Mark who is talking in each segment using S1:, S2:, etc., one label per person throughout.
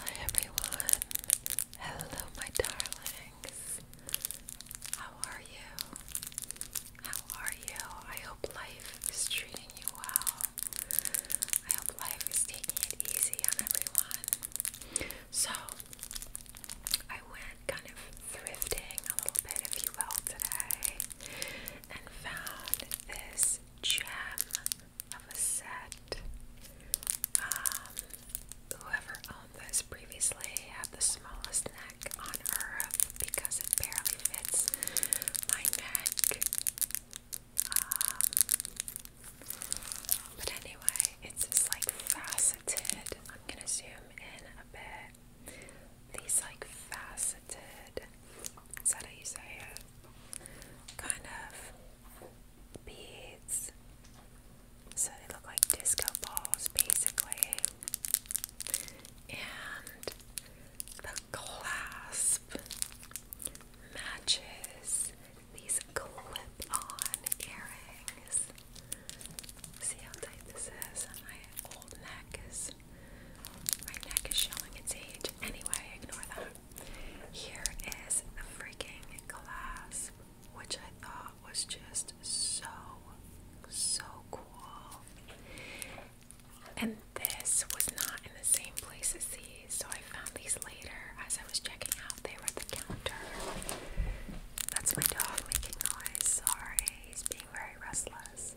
S1: Hi everyone. Hello my darlings. How are you? How are you? I hope life is treating you well. I hope life is taking it easy on everyone. So, I went kind of thrifting a little bit, if you will, today and found this gem of a set. Um, whoever owned this previously had the smallest neck on earth because it barely fits my neck. Um, but anyway, it's just like faceted. I'm gonna zoom in a bit. These like facets so is use how Kind of beads. So they look like disco balls basically. And the clasp matches these clip on earrings. See how tight this is? on My old neck is. My neck is showing its age. Anyway, ignore that. Here is the freaking clasp, which I thought was just so, so cool. And this was not in the same place as these, so I found these later as I was checking out. They were at the counter. That's my dog making noise. Sorry, he's being very restless.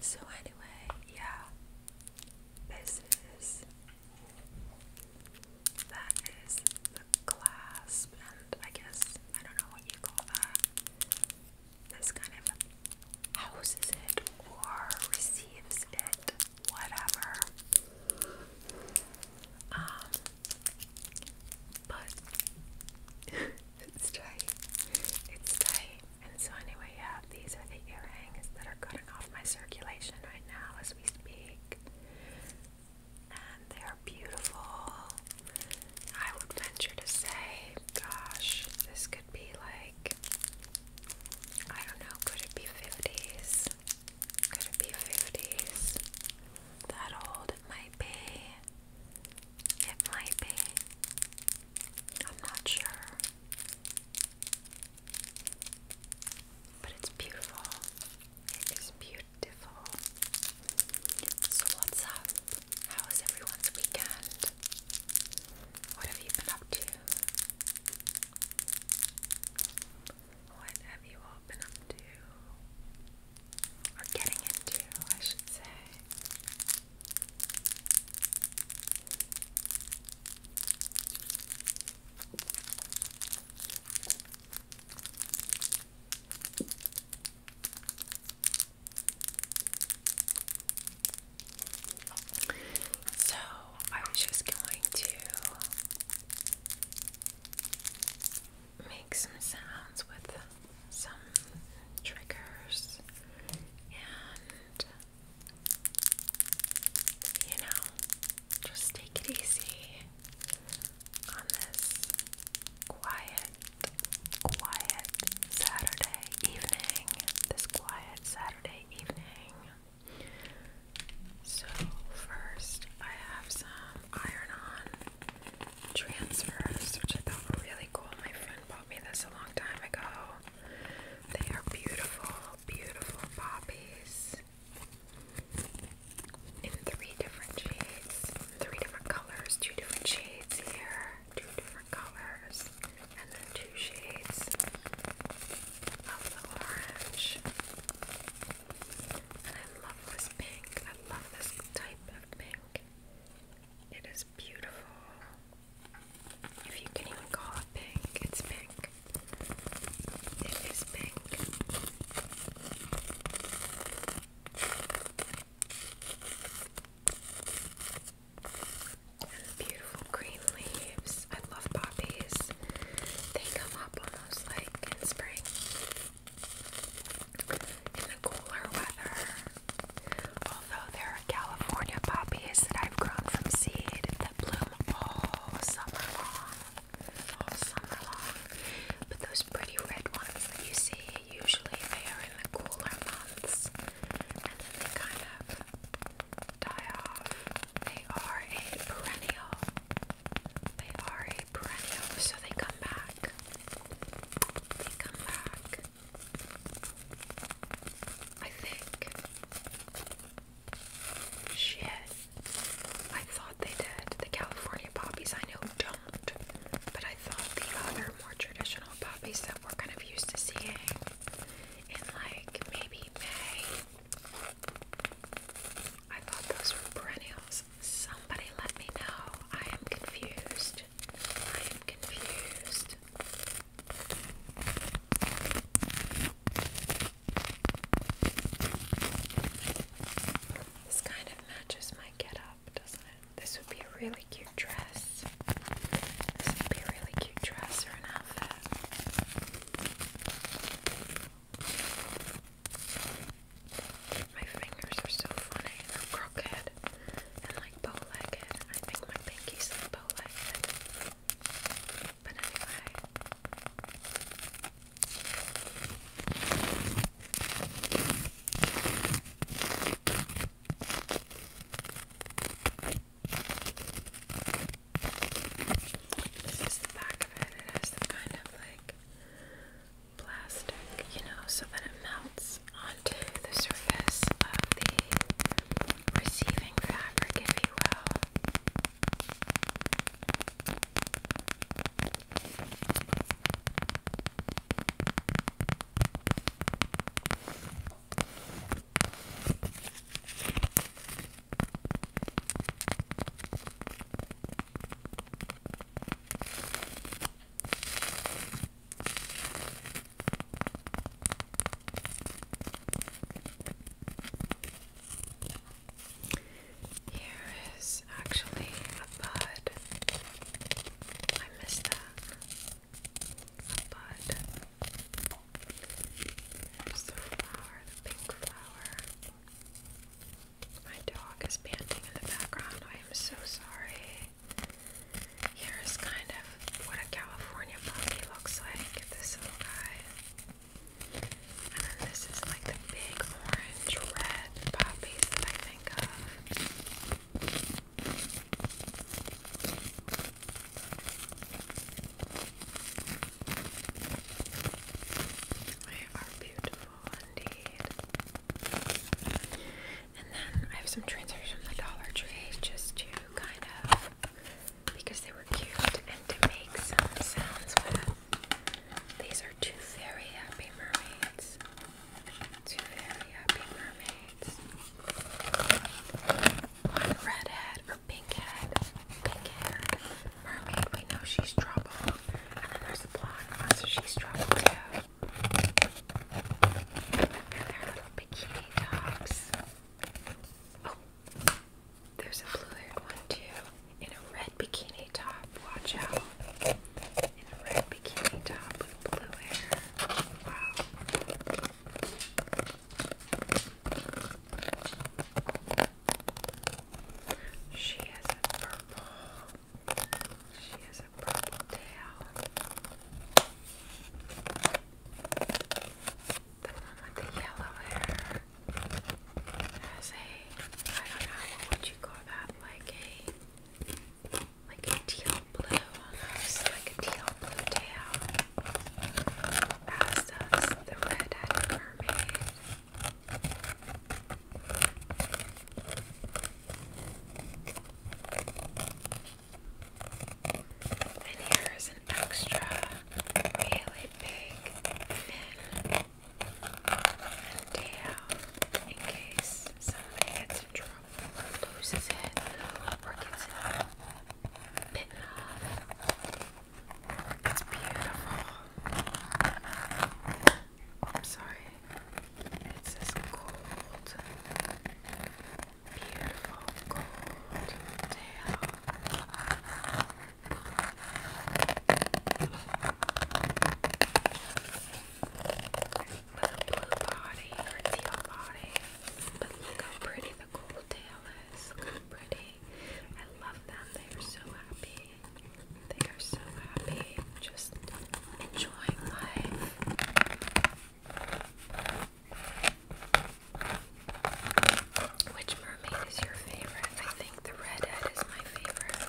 S1: So, anyway, yeah, this is. That is the clasp, and I guess I don't know what you call that. This kind of houses it or receives it, whatever. Um, but it's tight. It's tight. And so, anyway, yeah, these are the earrings that are cutting off my circulation right now as we speak. And they are beautiful. I would venture to say, gosh, this could be like, I don't know, could it be 50s? Could it be 50s? That old it might be. It might be. I'm not sure. But it's beautiful. It is beautiful. So, what's up? How everyone's weekend? What have you been up to? What have you all been up to? Or getting into, I should say. So I was just going to make some sounds with some triggers and you know, just take it easy on this quiet, quiet Saturday evening. This quiet Saturday evening. So, first, I have some iron on transfers, which I thought were really cool. My friend bought me this a long time ago. They are beautiful, beautiful poppies in three different shades, three different colors, two different shades here, two different colors, and then two shades of orange. And I love this pink. I love this type of pink. It is beautiful. If you can even call it pink, it's pink. It is pink. And beautiful green leaves. I love poppies. They come up almost like in spring. In the cooler weather. Although there are California poppies that I've grown from seed that bloom all summer long, all summer long. But those pretty red ones that you see, usually they are in the cooler months, and then they kind of die off. They are a perennial. They are a perennial, so they come back. They come back. I think. Shit. I thought they did. The California poppies I know don't, but I thought the other more traditional poppies that we're kind of used to seeing in like maybe May. I thought those were perennials. Somebody let me know. I am confused. I am confused. This kind of matches my get doesn't it? This would be a really cute dress. This would be really cute dress or an outfit. My fingers are so funny. I'm crooked and like bow legged. I think my pinky's like bow legged. But this is the back of it. It has kind of like plastic, you know, so that it melts onto the surface of the receiving fabric, if you will. Here is actually a bud. I missed that. bud. There's the flower, the pink flower. My dog is panting in the background. I am so sorry. Here's kind of what a California pumpkin looks like. This little guy. And then this is like the big orange red poppies that I think of. They are beautiful indeed. And then I have some transfers from the Dollar Tree just to kind of because they were cute and to make some sounds with. These are two very happy mermaids. Two very happy mermaids. One redhead or pink head, pink head mermaid. We know she's trouble. And then there's the blonde one, so she's trouble too. And little bikini tops. Oh, there's a blue-haired one too, in a red bikini top. Watch out! In a red bikini top with blue hair. Wow. She has a purple. She has a purple tail. The one with the yellow hair has a, I don't know, would you call that? Like a, like a teal blue almost, like a teal blue tail. As does the red-headed mermaid. And here is an extra really big fin in case somebody gets in trouble loses it or gets it bitten off. It's beautiful. I'm sorry. It's this gold beautiful gold tail. With a blue body or teal body. But look how pretty the gold tail is. pretty. I love them. They are so happy. They are so happy. Just enjoying life. Which mermaid is your favorite? I think the redhead is my favorite.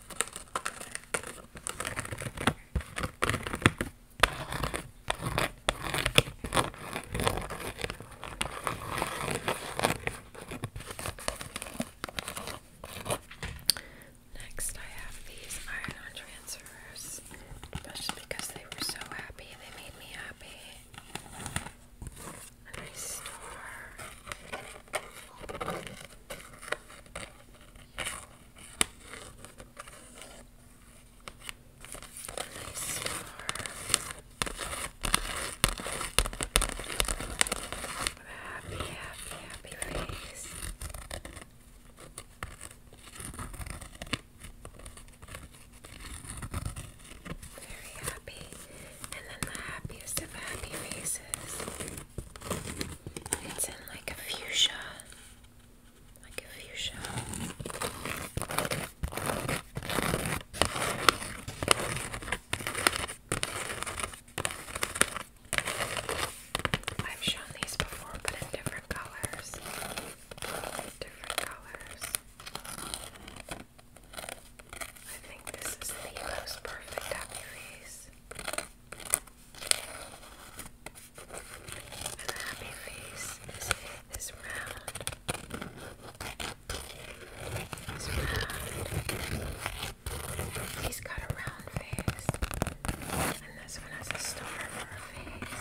S1: Next, I have these iron transfers, especially because they were so happy, they made me happy. A nice star. Nice scarf. happy, happy, happy face. Very happy. And then the happiest of happy faces. It's in like a fuchsia like a fuchsia. I've shown these before, but in different colors. Different colors. I think this is the most perfect happy face. And the happy face is, is round. It's round. He's got a round face. And this one has a star for a face.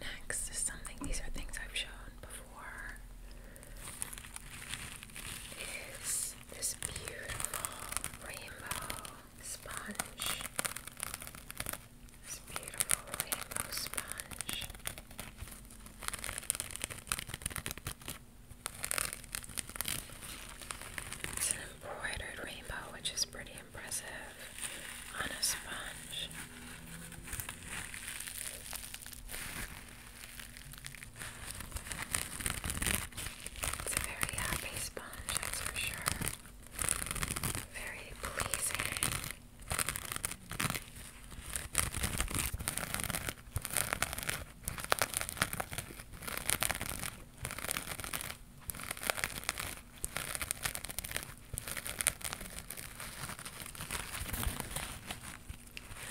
S1: Next something, these are things I've shown before. Is this beautiful rainbow sponge? This beautiful rainbow sponge. It's an embroidered rainbow, which is pretty impressive on a sponge. It's a very happy sponge, that's for sure. Very pleasing.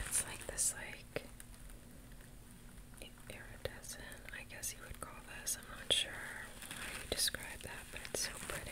S1: It's like this, like iridescent. I guess you would call this. I'm not sure how you describe that, but it's so pretty.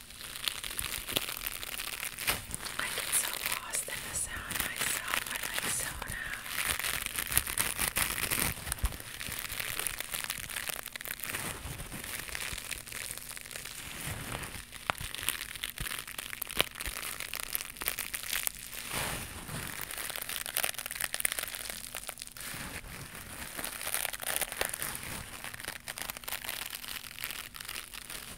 S1: I get so lost in the sound myself. I like zone out. I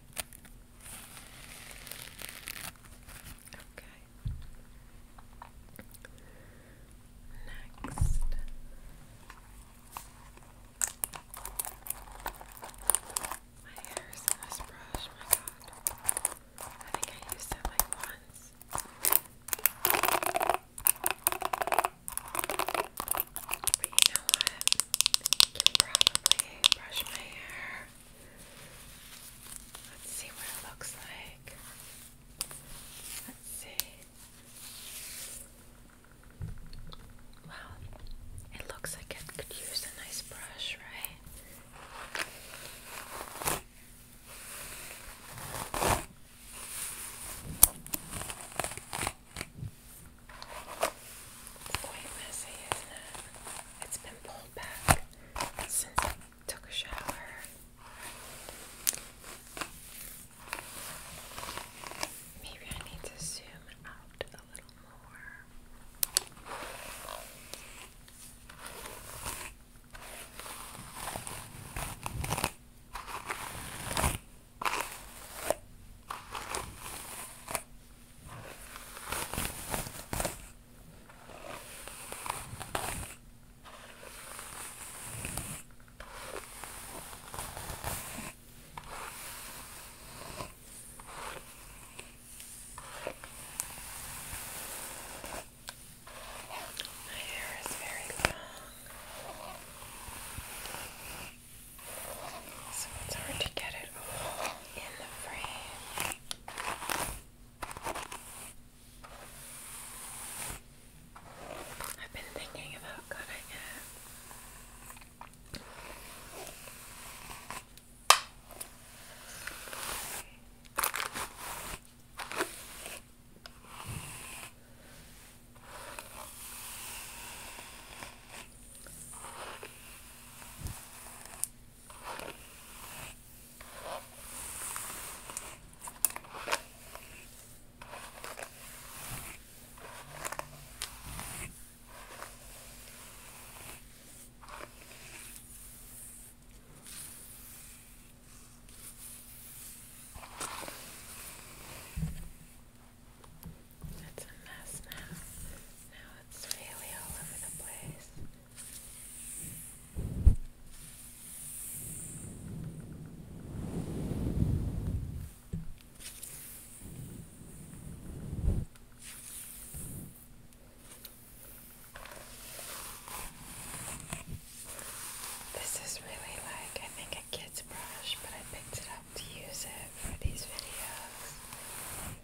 S1: Next. My hair is in this brush, my god. I think I used it like once. you know what? I can probably brush my hair Let's see what it looks like. Let's see. Well, it looks like it could use a nice brush, right? quite messy, isn't it? It's been pulled since I took a shower. Maybe I need to zoom out a little more. My hair is very long, so it's hard to get it in the frame. I've been thinking about cutting it. That's a mess now. This is really like, I think, a kid's brush, but I picked it up to use it for these videos.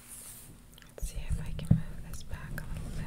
S1: Let's see if I can move this back a little bit.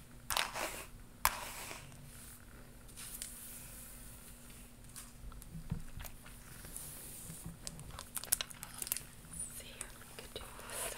S1: see if we could do this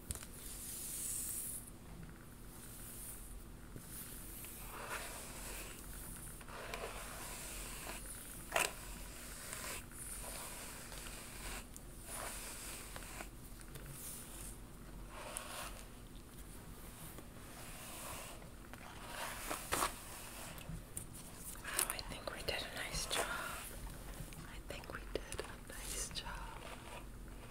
S1: Oh, I think we did a nice job. I think we did nice job. I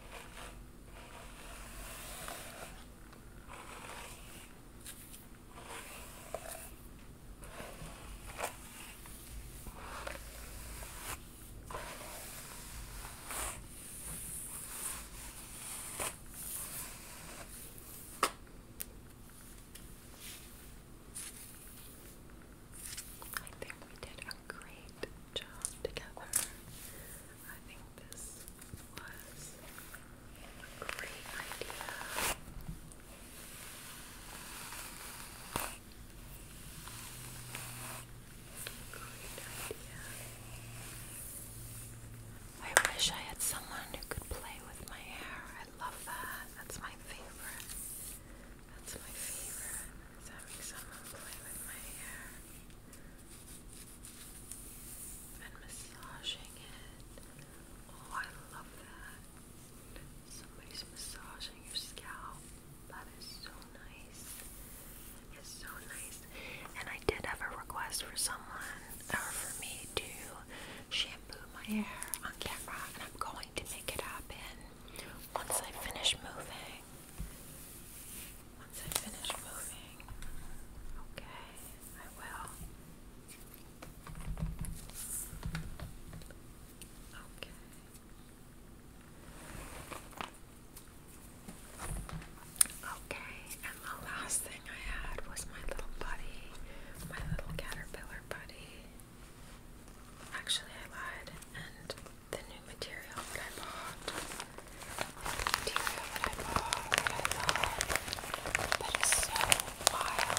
S1: think we did a great job together. I think this was a great idea. Great idea. I wish I had someone who could play with my hair. I love that. That's my favorite. That's my favorite, is someone play with my hair and massaging it. Oh, I love that. Somebody's massaging your scalp. That is so nice. It's so nice. And I did have a request for someone, or for me, to shampoo my hair on camera, and I'm going to make it happen once I finish moving. Once I finish moving, okay, I will. Okay. Okay, and the last thing I had was my little buddy, my little caterpillar buddy. Actually, I lied, and the new material that I bought. The material I bought, That is So wild.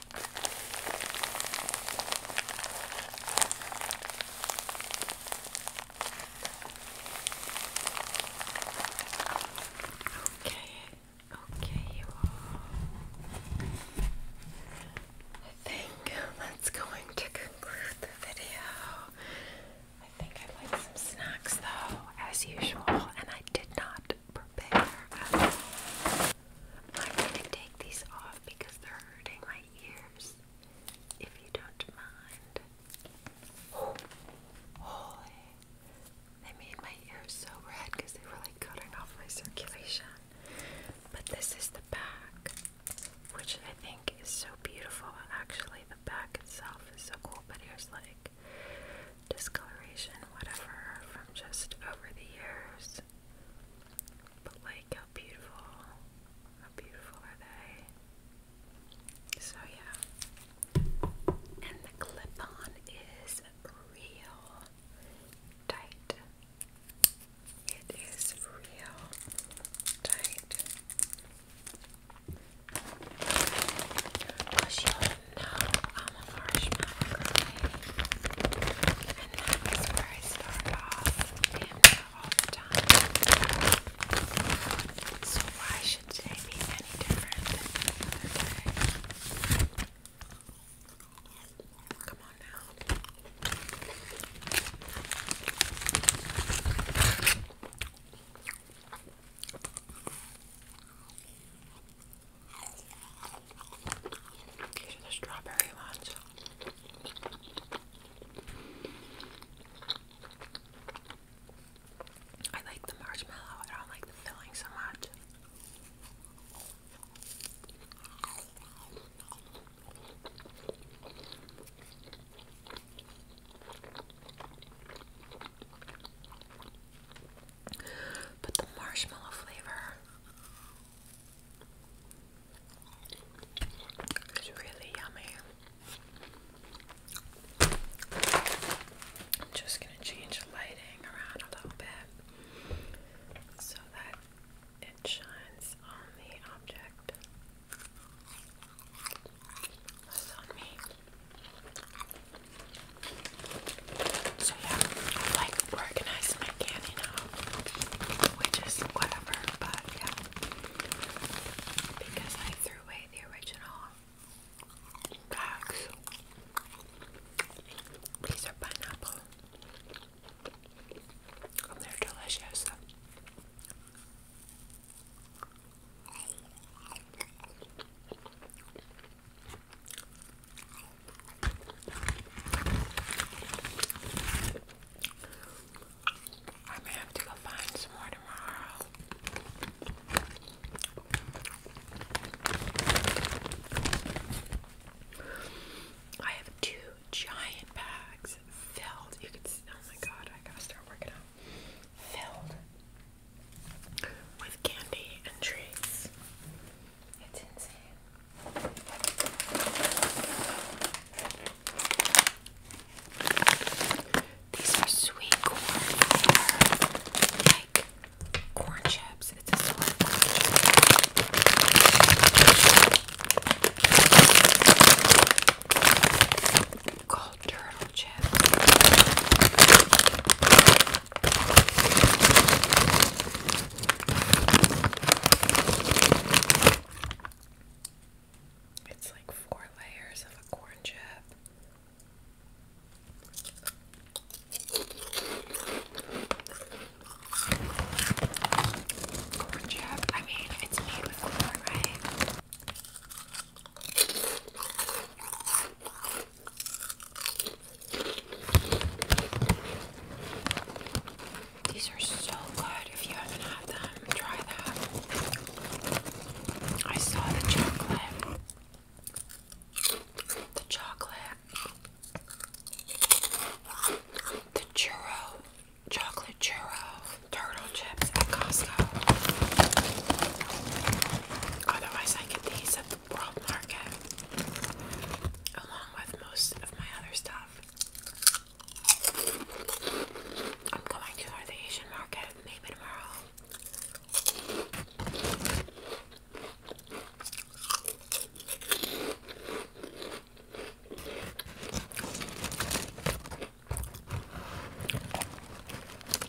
S1: Okay, okay, you all. I think that's going to conclude the video. I think I like some snacks though, as usual, and I did not prepare. I'm going to take these off because they're hurting my ears. If you don't mind. holy. They made my ears so red because they were like cutting off my circulation. But this is the back, which I think is so beautiful. Actually, the back itself is so cool, but here's like discoloration, whatever, from just over the years. But like how beautiful, how beautiful are they? So yeah. And the clip-on is real tight. It is real tight. I'll now I'm a marshmallow girlie. And that is where I start off and all time. So why should today be any different Come on now. These the strawberry ones. I like the marshmallow, I don't like the filling so much. But the marshmallow flavor is really yummy. I'm just gonna change the lighting around a little bit so that it shines on the object. That's on me. So yeah, I like organized my candy now, which is whatever, but yeah, because I threw away the original bags. These are pineapple, and they're delicious. I have to go find some more tomorrow. I have two giant bags filled. You could oh my god, I gotta start working out. Filled with candy and treats. It's insane. These are sweet corn. Like corn chips. It's Called turtle chip. It's like four layers of a corn chip. Corn chip? I mean, it's made with corn, right? These are so good. If you haven't had them, try that. I saw the chocolate. The chocolate. The churro. Chocolate churro. Turtle chips at Costco. Otherwise, I get these at the World Market along with most of my other stuff. I'm going to the Asian market maybe tomorrow.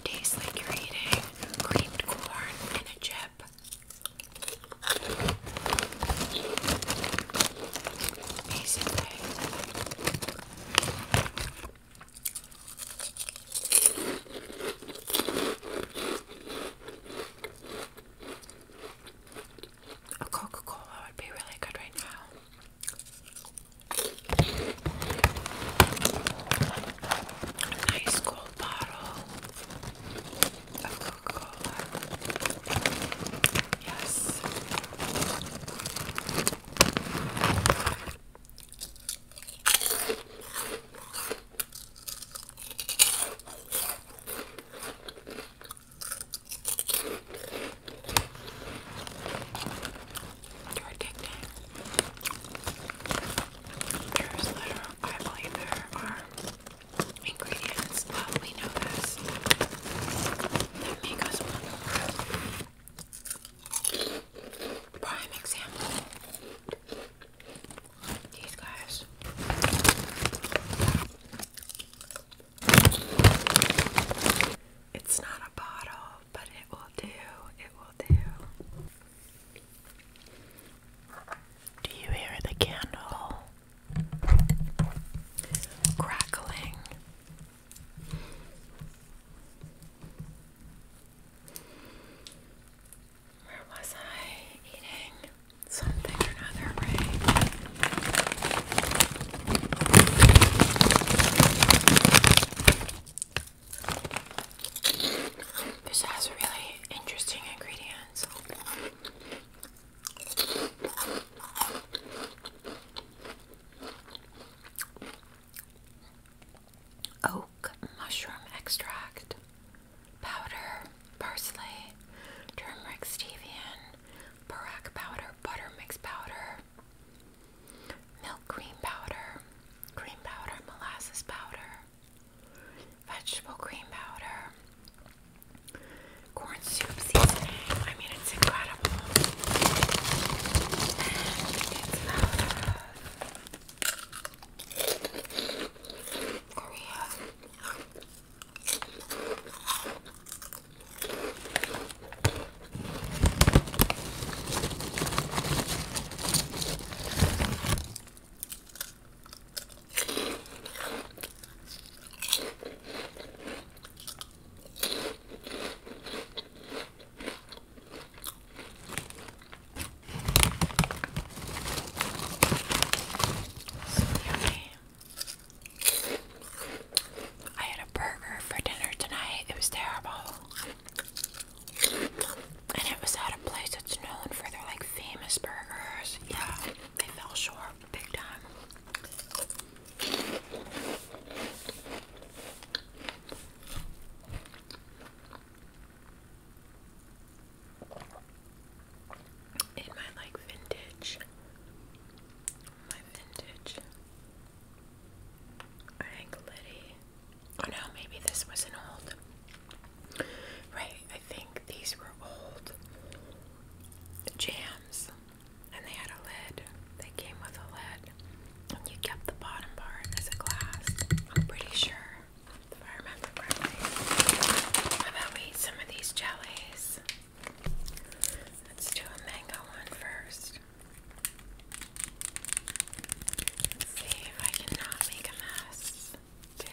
S1: Tastes like you're eating creamed corn and a chip a Coca-Cola would be really good right now. Nice cold little bottle of Coca-Cola. Yes. You're addicted. There's I believe there are ingredients, but we know this, that make us want Prime example. These guys. It's not a bottle, but it will do. It will do. Do you hear the candle crackling? Where was I eating something or another, This has a really interesting ingredient. Oak mushroom extract, powder, parsley, turmeric stevia, barak powder, butter mix powder, milk cream powder, cream powder, molasses powder, vegetable cream powder, corn soup seasoning. I mean, it's incredible. Korea. I had a burger for dinner tonight. It was terrible and it was at a place that's known for their like famous burgers. Yeah, they fell short big time. In my like vintage, my vintage, I think Liddy. Oh no, maybe this was an old. Right, I think these were old jams and they had a lid. They came with a lid. And you kept the bottom part as a glass. I'm pretty sure, if I remember correctly. How about we eat some of these jellies? Let's do a mango one see if I can not make a mess too.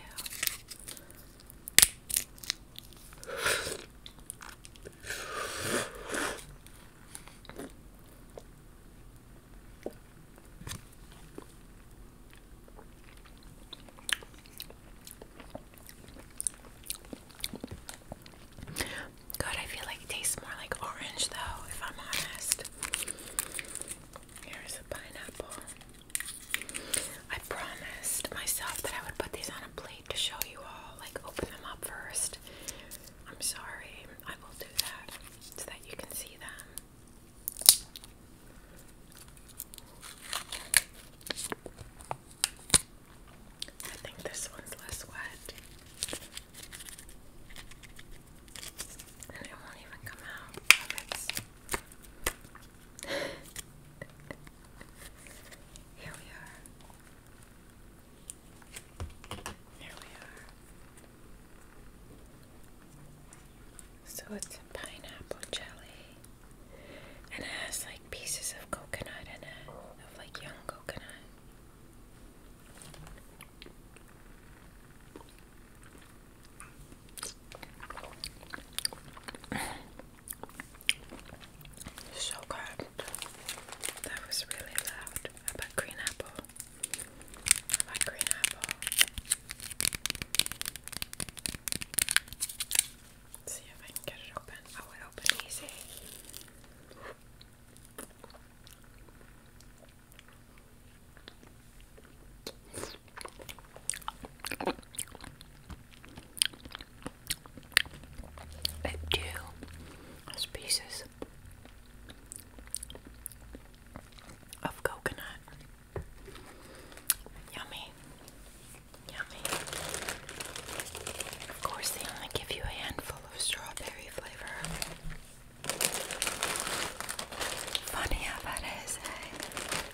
S1: Good, I feel like it tastes more like orange though, if I'm honest. Here's a pineapple. I promised myself that I would put these on a plate to show you all, like open them up first. I'm sorry, I will do that so that you can see them. I think this one's less wet. And it won't even come out here we are. Here we are. So it's pineapple jelly. And it has like pieces of coconut in it, of like young coconut. So good. That was really loud. I like green apple. I like green apple. see if I can get it open. Oh, it opened easy. But do pieces of coconut. Yummy. Yummy. Of course, they only give you a handful of strawberry flavor. Funny how that is, eh?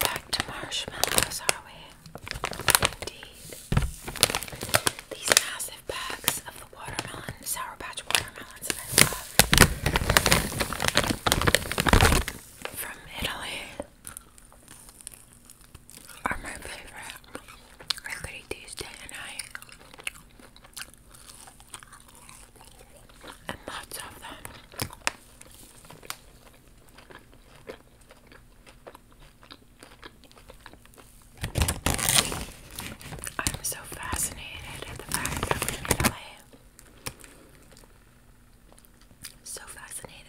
S1: Back to marshmallows, are we? Indeed. These massive bags of the watermelon, sour patch watermelons from Italy are my favorite. I could night. And lots of them. I'm so fascinated at the fact that we're in Italy. So fascinated.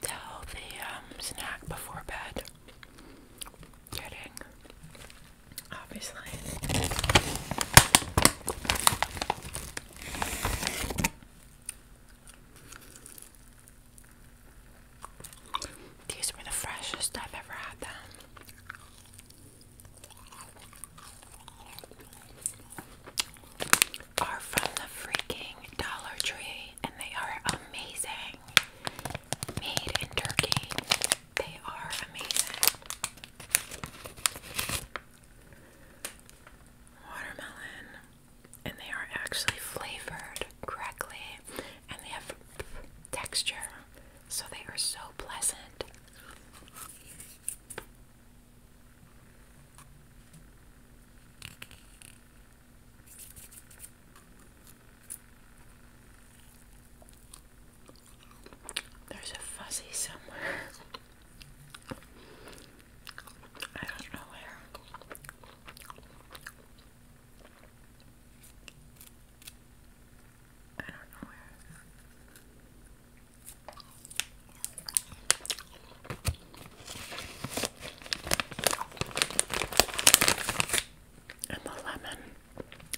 S1: Tell the um, snack before bed. Kidding. Obviously. These were the freshest I've ever had them are from the freaking Dollar Tree and they are amazing. Made in Turkey. They are amazing. Watermelon. And they are actually flavored correctly and they have texture. So they are so pleasant. There's a fuzzy somewhere. I don't know where. I don't know where. And the lemon.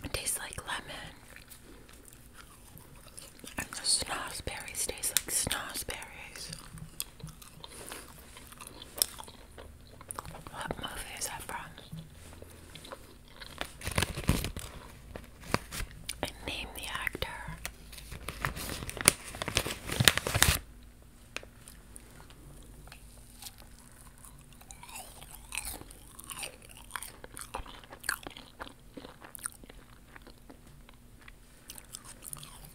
S1: It tastes like lemon. And the snozberries taste like snozberries. What movie is that from? name the actor.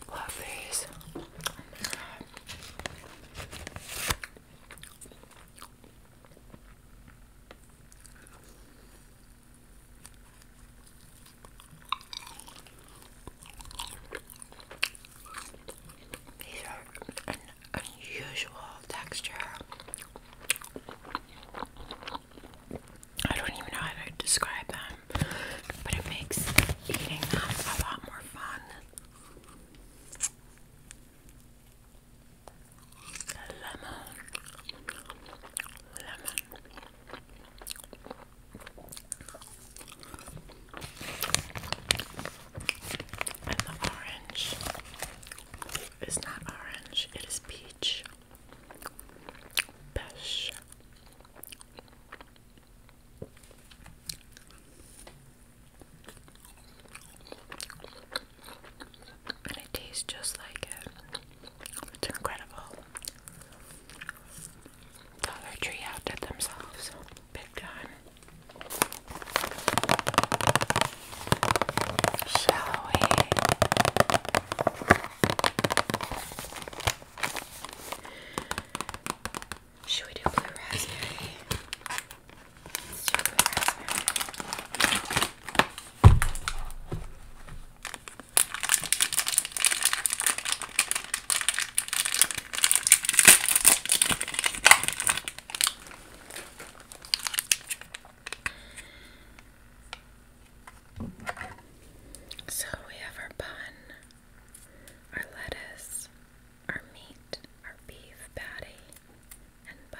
S1: Love these. These are an unusual texture. I don't even know how to describe them, but it makes eating them a lot more fun. lemon, lemon. And the orange is not orange, it is peach. Pesh. And it tastes just like it. It's incredible. Dollar Tree outdid themselves big time. Shall we? Should we do blue raspberry? do blue raspberry. So we have our bun, our lettuce, our meat, our beef patty, and bun.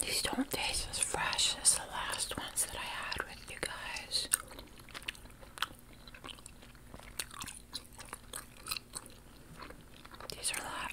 S1: These don't taste as fresh as the last ones that I had with you guys. These are a lot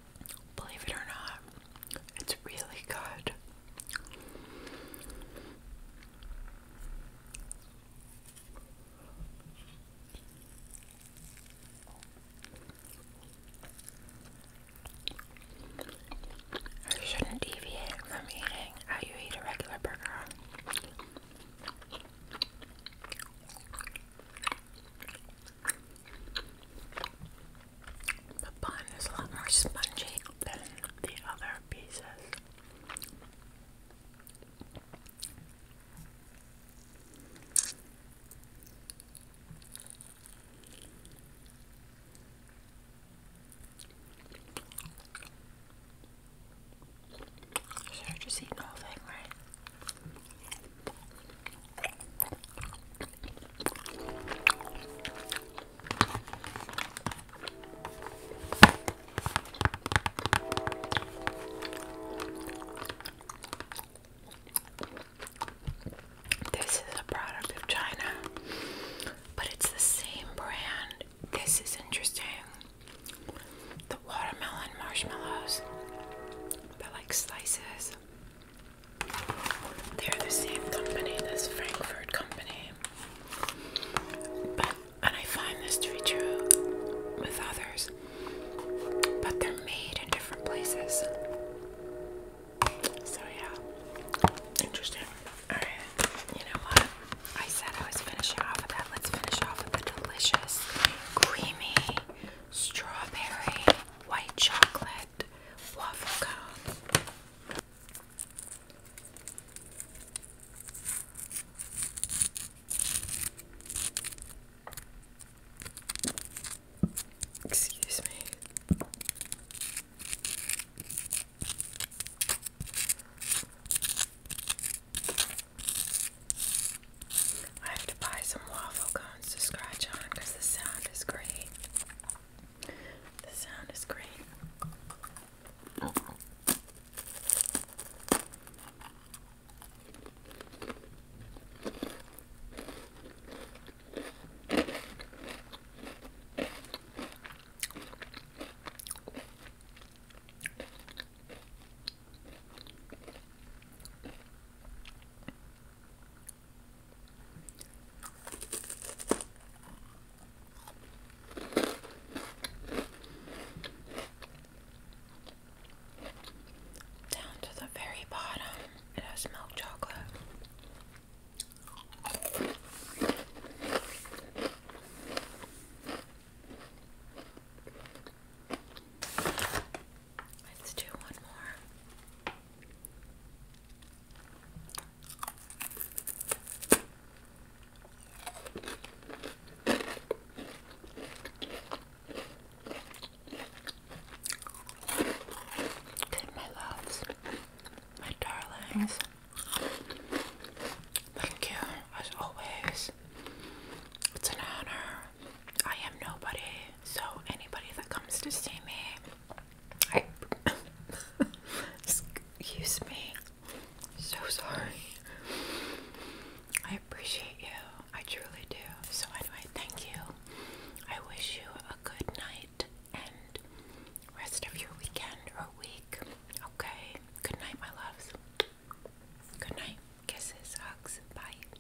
S1: Believe it or not, it's really good. I shouldn't deviate from eating how you eat a regular burger. The bun is a lot more spongy than the other pieces. Should I just eat the whole thing, right? This is a product of China, but it's the same brand. This is interesting. The watermelon marshmallows, they're like slices. They're the same company, this Frankfurt company. But and I find this to be true with others. But they're made in different places. So yeah. Interesting. Alright. You know what? I said I was finishing off with that. Let's finish off with the delicious, creamy, strawberry, white chocolate waffle cone. Excuse me. I have to buy some waffle cones to scratch on because the sound is great. The sound is great. Down to the very bottom, it has milk chocolate. Let's do one more my loves, my darlings, thank you as always. It's an honor. I am nobody, so anybody that comes to see me I excuse me. So sorry. I appreciate you. I truly do. So anyway, thank you. I wish you a good night and rest of your weekend or week. Okay. Good night, my loves. Good night. Kisses, hugs. Bye.